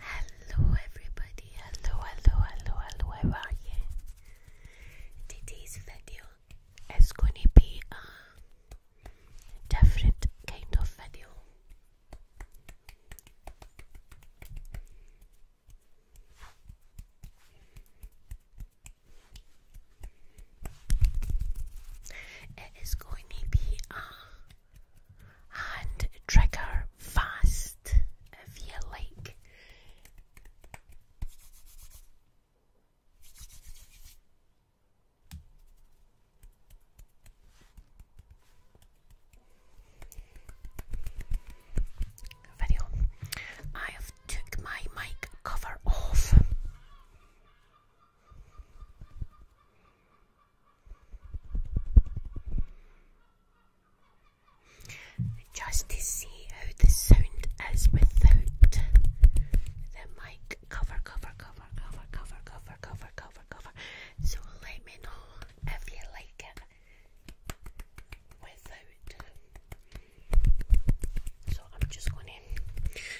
Hello, everybody. Hello, hello, hello, hello. How are you? Today's video is going to be a different kind of video. It is going to be a and trigger fast if you like. Video. I have took my mic cover off. Just to see how the sound is without the mic. Cover, cover, cover, cover, cover, cover, cover, cover, cover. So let me know if you like it without. So I'm just going to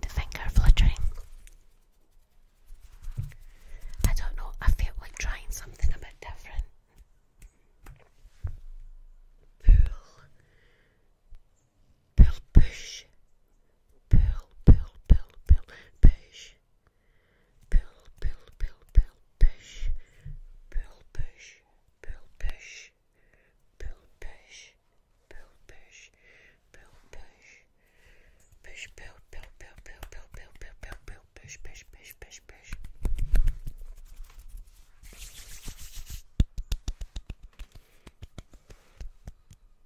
And finger fluttering. I don't know, I feel like trying something a bit different. Pool. Pearl push. Pearl, pearl, pearl, pearl, push. Pearl, pearl, pearl, pearl, push. Pearl push. Pearl push. Pearl push. Pearl push. Pearl push. Push, pearl, pearl, pearl, pearl, pearl, pearl, pearl, pearl, pearl, push, push, push, push, push.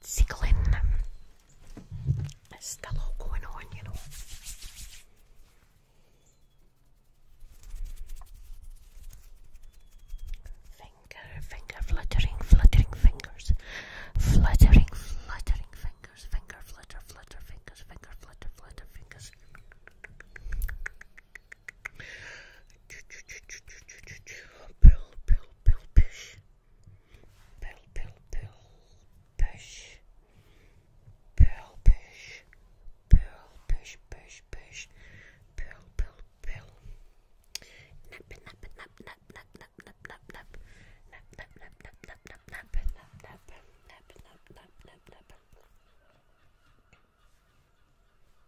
tickling. There's still a going on, you know. Finger, finger, fluttering, fluttering fingers. Fluttering, fluttering fingers. Finger, flutter, flutter, fingers. Finger, flutter, flutter, fingers. Pull, pull, pull, push. Pearl, pearl, pearl, push. Pearl, push. Pearl, push, push, push. Pearl, pearl, pearl. Nap, nap, nap, nap, nap, nap, nap, nap, nap. Nap, nap, nap, nap, nap, nap, nap, nap, nap, nap, nap, nap, nap, nap.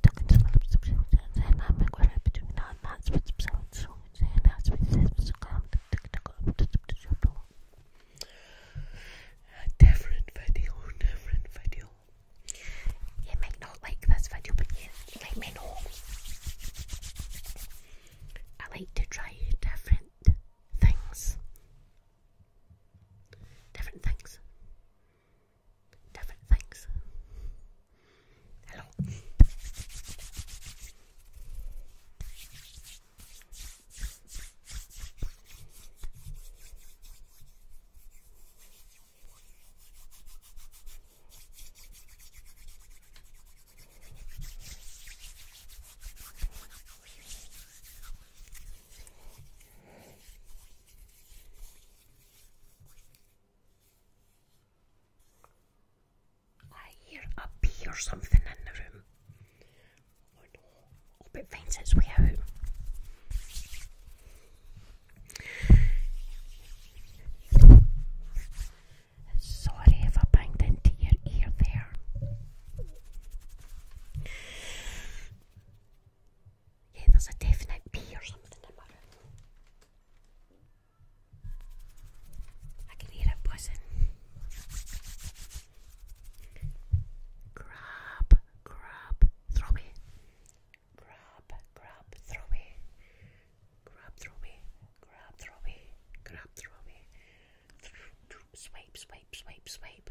different video, different video. You might not like this video, but let me know. I like to try different things. Different things different things. Hello. I hear a bee or something in the room. Oh no, hope it finds its way out. Sorry if I banged into your ear there. Yeah, there's a definite B or something I can hear it buzzing. Grab, grab, throw me. Grab, grab, throw me. Grab, throw me. Grab, throw me. Grab, throw me. Swipe, swipe, swipe, swipe.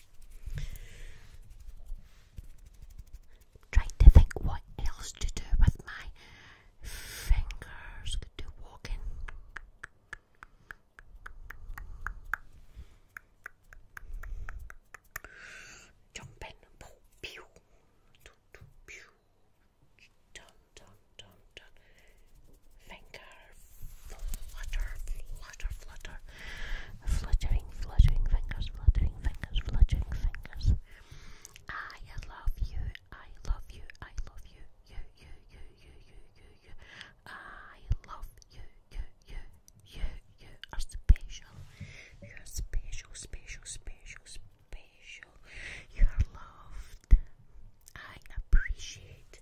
Trying to think what else to do with my fingers. Could do walking. Jumping. Pew, pew, pew. Dun, dun, dun, dun finger flutter, flutter, flutter, fluttering, fluttering fingers, fluttering fingers, fluttering fingers. I love you, I love you, I love you, you, you, you, you, you, you, I love you, you, you, you, you are special. You are special, special, special, special. You are loved. I appreciate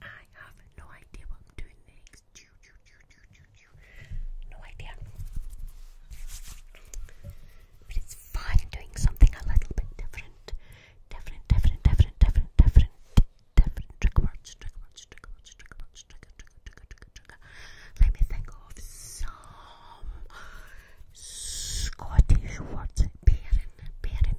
I have no idea what I'm doing next. No idea. But it's fun doing something a little bit different. Different, different, different, different, different, different. Trigger words, trigger words, trigger words, trigger words, trigger, trigger, trigger, trigger, trigger. Let me think of some Scottish words. Baron, baron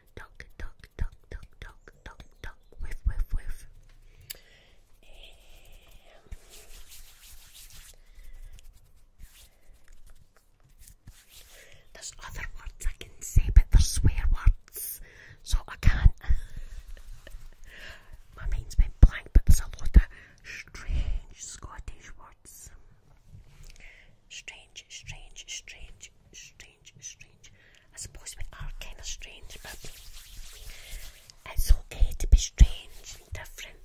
Talk, talk, talk, talk, talk, talk, talk, whiff, whiff, whiff. there's other words I can say, but they're swear words, so I can't. My mind's been blank, but there's a lot of strange Scottish words. Strange, strange, strange, strange strange, I suppose we are kind of strange, but it's okay to be strange and different.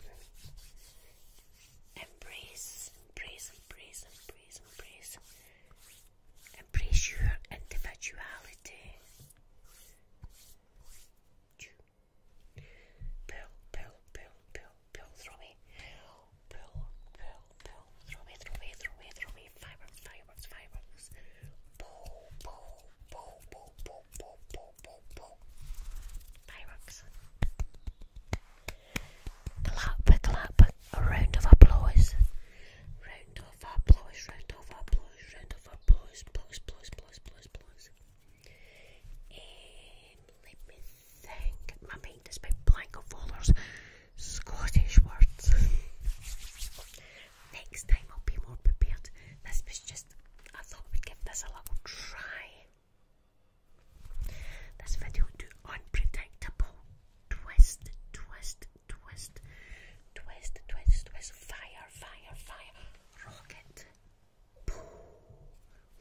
Embrace, embrace, embrace, embrace, embrace. Embrace your individuality. Pull, pull, pull, pull, pull through me. Pull, pull, throw away, throw away, throw away, throw away, fireworks, fireworks, fireworks. Pull, pull, pull, pull, pull, pull, pull, pull, Fireworks. Clap, clap, a round of applause. Round of applause, round of applause, round of applause, applause, applause, applause, applause, applause. let me think. My mind is a blank of folders. Scottish words. Next time I'll be more prepared. This was just, I thought we'd give this a little try. This video do unpredictable twist, twist, twist, twist, twist, twist, fire, fire, fire, rocket, poo,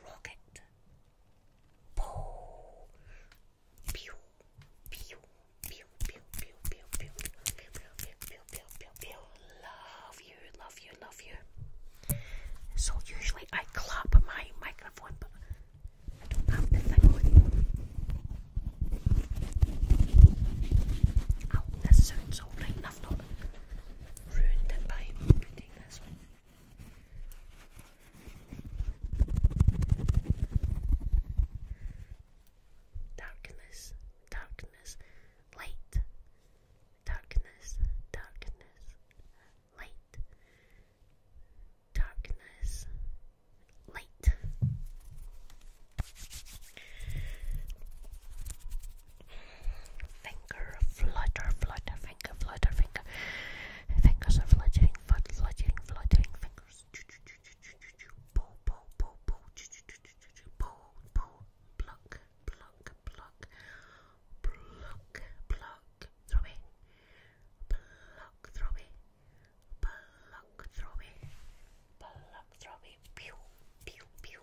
rocket, poo, love you, love you, love you. So usually I clap my microphone, but I don't have the thing Oh, this sounds alright, and ruined it by Darkness, darkness, light. Darkness, darkness, light. Darkness, light. Finger flutter, flutter, finger flutter, finger. Fingers are fluttering, fluttering, fluttering, fluttering fingers. Pull, pull, pull, pull, pull, pull, pluck, pluck, pluck, pluck, pluck, throw me, pluck, throw me, pluck, throw me, pluck, throw me, pew, pew, pew,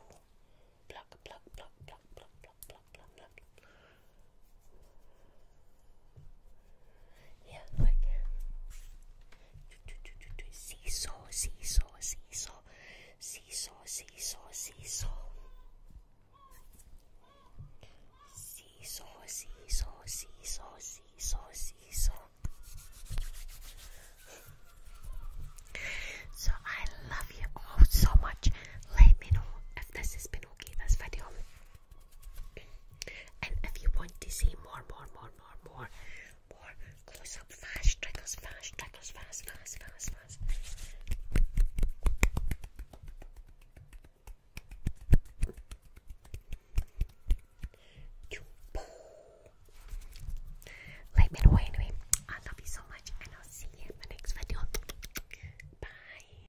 pluck, pluck, pluck, pluck, pluck, pluck, pluck, pluck, pluck. Yeah, like seesaw, seesaw, seesaw, seesaw, seesaw, seesaw, seesaw, seesaw, seesaw, seesaw, seesaw. So I love you all so much. Let me know if this has been okay. This video. And if you want to see more, more, more, more, more, more close up, fast triggers, fast triggers, fast, fast, fast, fast. Let me know anyway. I love you so much, and I'll see you in my next video. Bye.